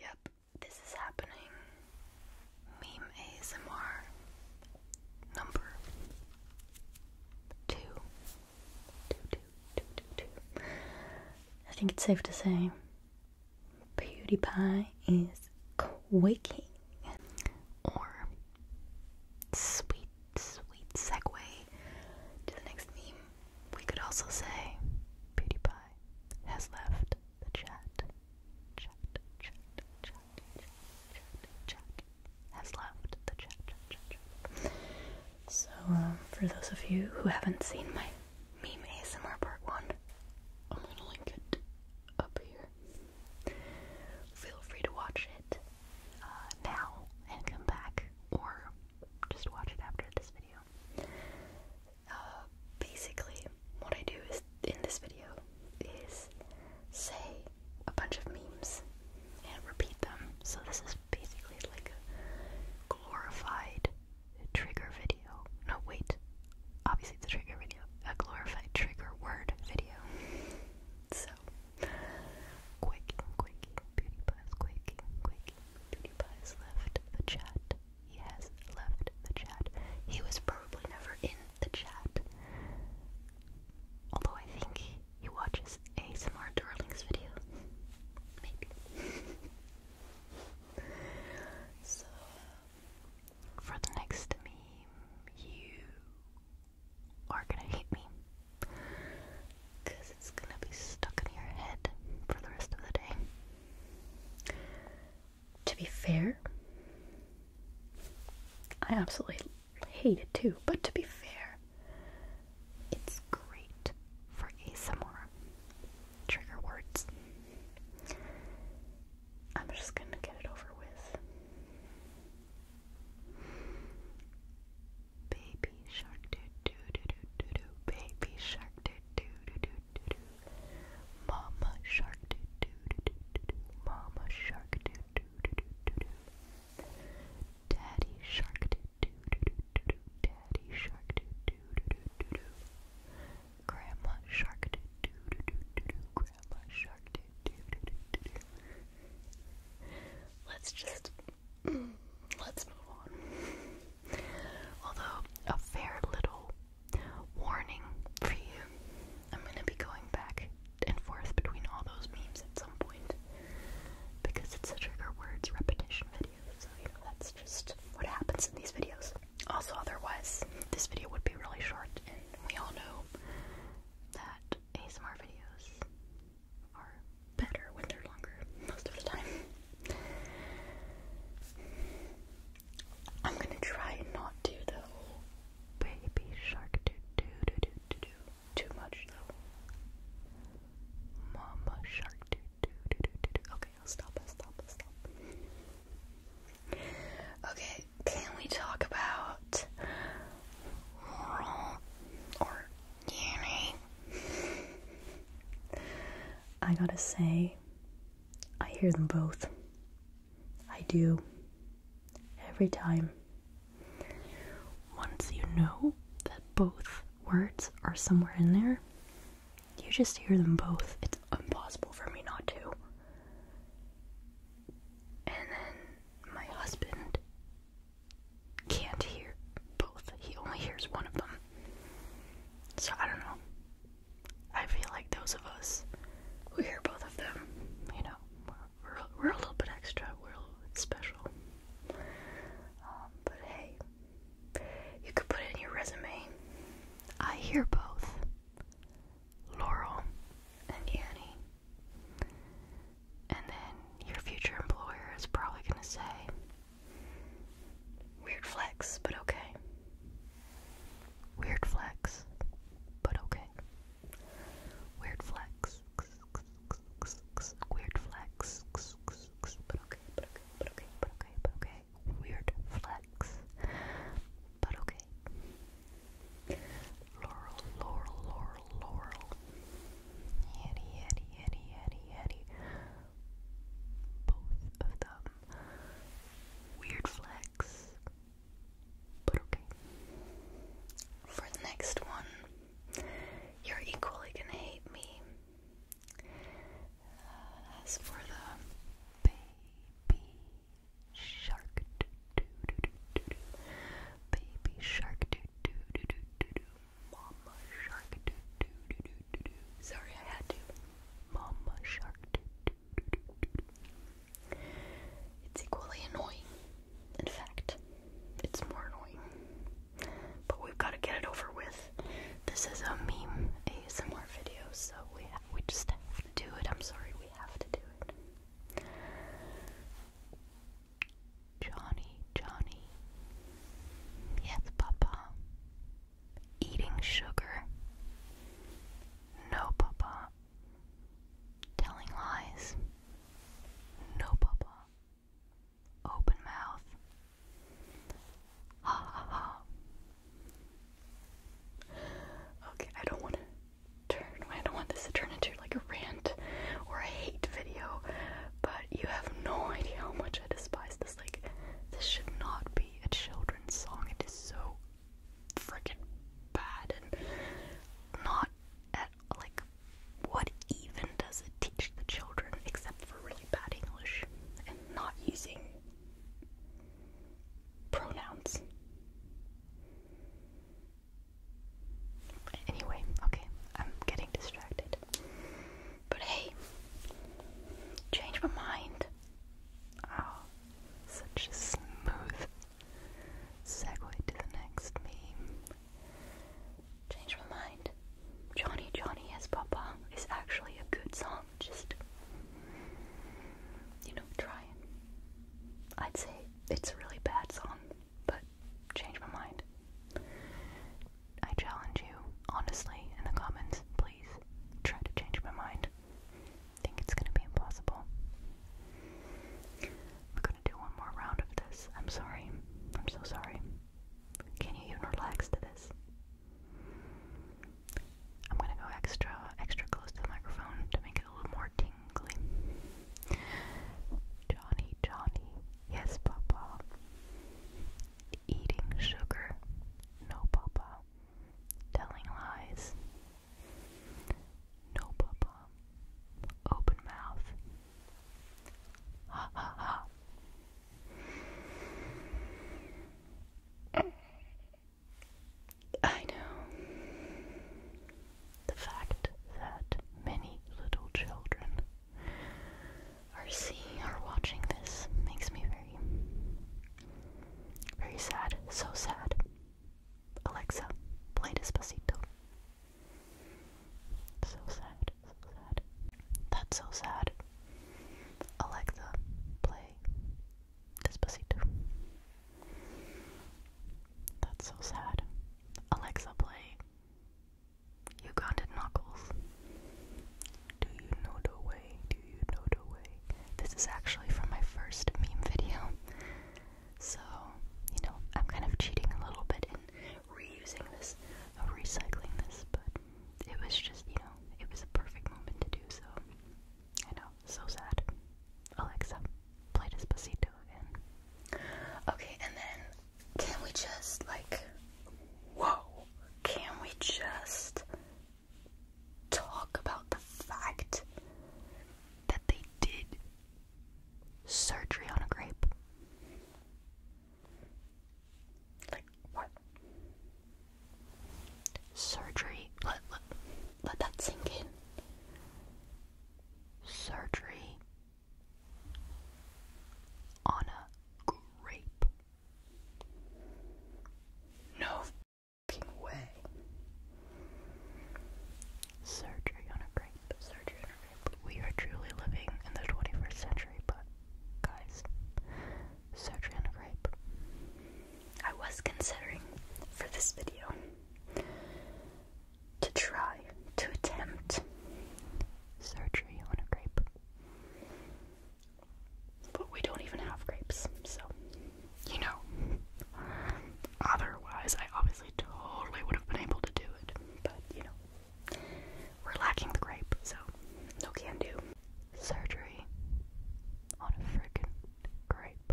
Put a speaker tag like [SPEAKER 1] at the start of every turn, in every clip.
[SPEAKER 1] Yep, this is happening. Meme ASMR number two, two, two. I think it's safe to say PewDiePie is quaking. Or, sweet, sweet segue to the next meme. We could also say PewDiePie has left the chat. Chat, chat, chat, chat, chat, Has left the chat, So, um, for those of you who haven't seen my meme ASMR part one, I'm gonna link it up here. Feel free to watch it uh, now and come back, or just watch it after this video. Uh, basically, what I do is in this video is say a bunch of memes and repeat them. So this is basically like a glorified trigger video. No, wait. Obviously, it's a trigger video. A glorified trigger word video. So, quick, quick, beauty buzz, quick, quick, PewDiePie left the chat. He has left the chat. He was probably never in the chat. Although I think he, he watches ASMR Darling's video. Maybe. so, uh, for the next meme, you are gonna hate me because it's gonna be stuck in your head for the rest of the day. To be fair, I absolutely hate it too, but to be fair, it's great for ASMR trigger words. I'm just gonna get it over with. Baby shark doo doo doo doo doo doo. Baby shark doo doo doo doo doo doo. Mama shark doo doo doo doo doo doo. Mama shark doo doo doo doo doo doo. Daddy shark doo doo doo doo doo doo. Daddy shark doo doo doo doo doo doo. Grandma shark doo doo doo doo doo doo. Grandma shark doo doo doo doo doo doo. Let's just Let's move on. Although, a fair little warning for you. I'm gonna be going back and forth between all those memes at some point because it's a trigger words repetition video, so you know, that's just what happens in these videos. Also, otherwise, this video would be really short, and we all know that ASMR videos are better when they're longer most of the time. I'm gonna try not to do the whole baby shark do do do do do do too much though. Mama shark do do do do do do. Okay, I'll stop. I'll stop. I'll stop. Okay, can we talk about Laurent or Uni. I gotta say, I hear them both. I do. Every time. Once you know that both words are somewhere in there, you just hear them both. It's impossible for me not to. And then my husband can't hear both. He only hears one of them. So I don't know. I feel like those of us who hear both of them, you know, we're, we're, a little bit extra, we're special. Um, but hey, you could put it in your resume. I hear both Laurel and Annie and then your future employer is probably going to say, Weird flex, but okay. Weird flex, but okay. Weird flex. Weird flex. But okay, but okay, but okay, but okay, but okay. Weird flex. But okay. Laurel, Laurel, Laurel, Laurel. Yeti, Yeti, Yeti, Yeti, Yeti. Both of them. Weird flex. But okay. For the next one, you're equally gonna hate me. Uh, as for the baby shark, baby shark, Mama Shark doo doo doo doo doo doo. Sorry, I had to. Mama Shark doo doo doo doo doo. doo. It's equally annoying. In fact, it's more annoying. But we've got to get it over with. This is a meme ASMR video, so we we just have to do it. I'm sorry, we have to do it. Johnny, Johnny. Yes, Papa. Eating sugar. No, Papa. Telling lies. No, Papa. Open mouth. Ha ha ha. Okay, I don't want to turn. I don't want this to turn into like a rant or a hate video, but you have no idea how much I despise this. Like, this should not be a children's song. It is so freaking bad and not at like what even does it teach the children except for really bad English and not using pronouns. Anyway, okay, I'm getting distracted. But hey, change my mind. Oh, such a smooth segue to the next meme. Change my mind. Johnny Johnny Yes Papa is actually a good song. Just, you know, try it. I'd say it's a really bad song but changed my mind. I challenge you, honestly, in the comments, please try to change my mind. think it's gonna be impossible. We're gonna do one more round of this. I'm sorry. I'm so sorry. Can you even relax to this? I'm gonna go extra, extra close to the microphone to make it a little more tingly. Johnny, Johnny, Yes, Papa. Eating sugar. No, Papa. Telling lies. No, Papa. Open mouth. Ha ha ha. I know the fact that many little children are seeing or watching this makes me very, very sad. So sad. Alexa, play Despacito. So sad, so sad. That's so sad. Alexa, play Despacito. That's so sad. Alexa, play you counted knuckles. Do you know the way? Do you know the way? This is actually from my first meme video. So, you know, I'm kind of cheating a little bit in reusing this, uh, recycling this, but it was just, you know, it was a perfect moment to do so. I know, so sad. Alexa, play Despacito again. Okay, and then can we just, like, whoa, can we just talk about the fact that they did surgery on a grape? Like, what? Surgery. Let, let, let that sink in. Surgery on a grape. No way. Surgery on a grape. Surgery on a grape. We are truly living in the 21st century, but guys, surgery on a grape. I was considering for this video to try to attempt surgery on a grape. But we don't even have grapes, so you know. Otherwise, I obviously totally would have been able to do it, but you know, we're lacking the grape, so no can do. Surgery on a freaking grape.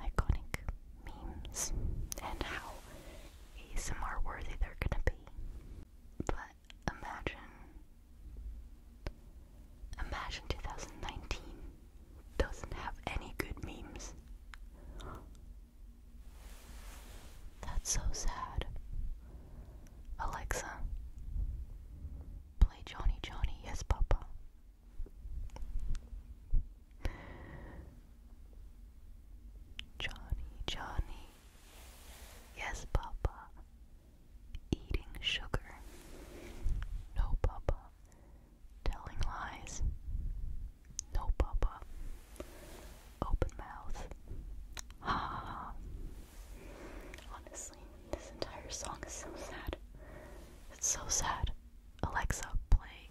[SPEAKER 1] iconic memes and how ASMR worthy they're gonna be. But imagine, imagine 2019 doesn't have any good memes. That's so sad. Alexa, play Johnny Johnny, yes, Papa. Johnny, Johnny. Yes, Papa. Eating sugar. No, Papa. Telling lies. No, Papa. Open mouth. Ha. Honestly, this entire song is so sad. It's so sad. Alexa, play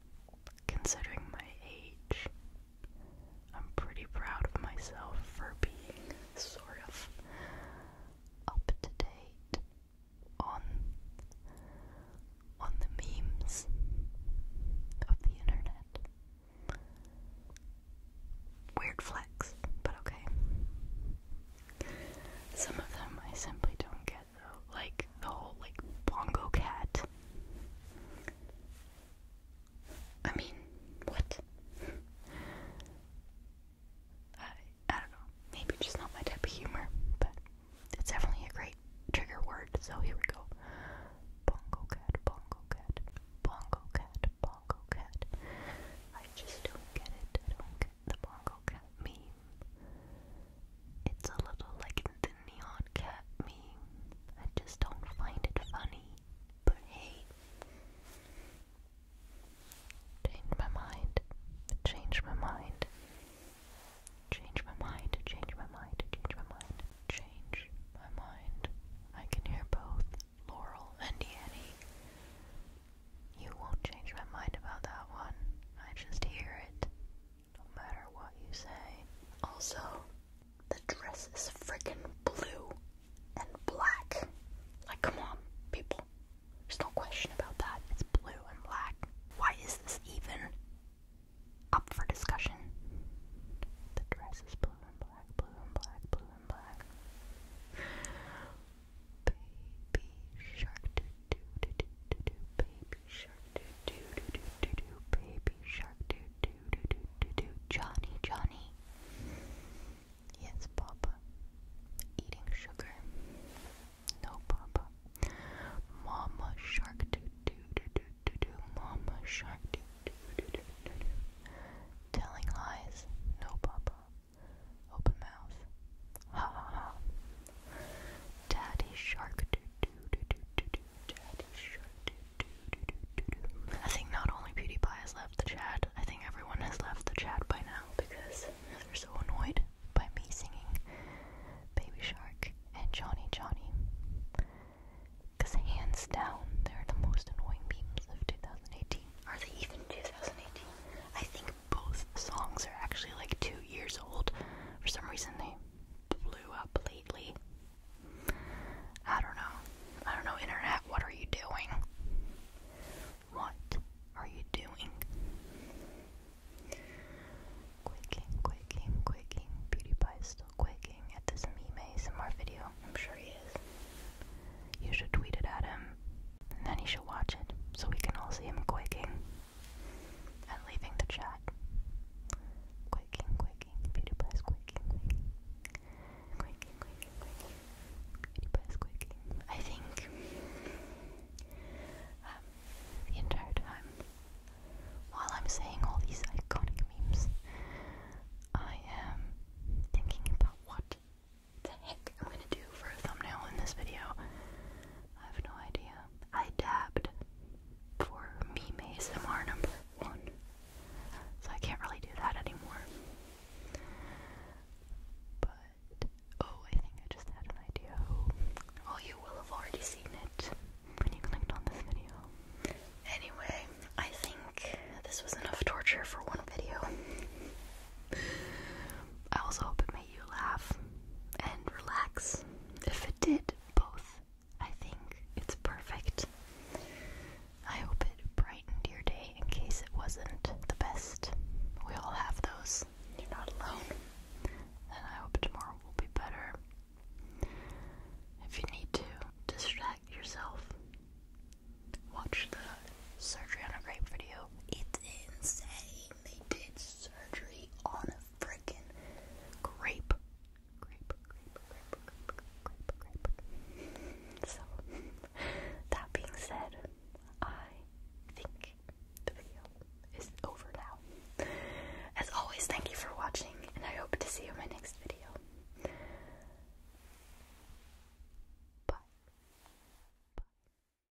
[SPEAKER 1] Considering my age, I'm pretty proud of myself for being sort of up to date on on the memes of the internet. Weird flex, but okay. Some of them I simply don't get. Like the whole like bongo cat. I mean, what? I I don't know. Maybe just not my type of humor, but it's definitely a great trigger word. So here we go. Bongo cat, bongo cat, bongo cat, bongo cat. I just don't get it. I don't get the bongo cat meme. It's a little like the neon cat meme. I just don't find it funny. But hey, change my mind, change my mind, change my mind, change my mind, change my mind, change my mind. I can hear both Laurel and Danny. You won't change my mind about that one. I just hear it. No matter what you say. Also, the dress is freaking blue and black. Like, come on, people. There's no question about that. It's blue and black. Why is this even up for discussion? The dress is blue and black, blue and black, blue and black. Baby shark, do do do do do, do. baby shark do do do do do do baby shark do do do do do do Johnny Johnny Yes Papa Eating sugar No Papa Mama shark do do do do do do Mama shark do do do do do do Telling lies No Papa Open mouth Ha ha ha Daddy Shark. Do, do, do, do, do, do. Daddy Shark. Do, do, do, do, do, do. I think not only PewDiePie has left the chat, I think everyone has left the chat by now because they're so annoyed by me singing Baby Shark and Johnny Johnny. Because hands down, they're the most annoying memes of 2018. Are they even 2018? I think both songs are actually like two years old. For some reason, they blew up lately. I don't know. I don't know, internet. What are you doing? What are you doing? Quaking, quaking, quaking. Beauty Pie is still quaking at this meme ASMR video. I'm sure he is. You should tweet it at him, and then he should watch it so we can all see him quaking and leaving the chat. Quaking, quaking, beauty quaking, quaking, quaking, quaking, quaking, quaking. I think um, the entire time while I'm saying all these iconic memes, I am thinking about what the heck I'm gonna do for a thumbnail in this video. I have no idea. I dabbed for meme ASMR number one, so I can't really do that anymore. But, oh, I think I just had an idea. Well, oh, you will have already seen it when you clicked on this video. Anyway, I think this was enough torture for one video. I also hope you laugh and relax. If it did both, I think it's perfect. I hope it brightened your day in case it wasn't the best. We all have those. You're not alone. And I hope tomorrow will be better. If you need to, distract yourself. Watch the surgery on a grape video. It's insane. They did so surgery on a frickin' grape. So, that being said, I think the video is over now. As always, thank you for watching, and I hope to see you in my next video. Bye.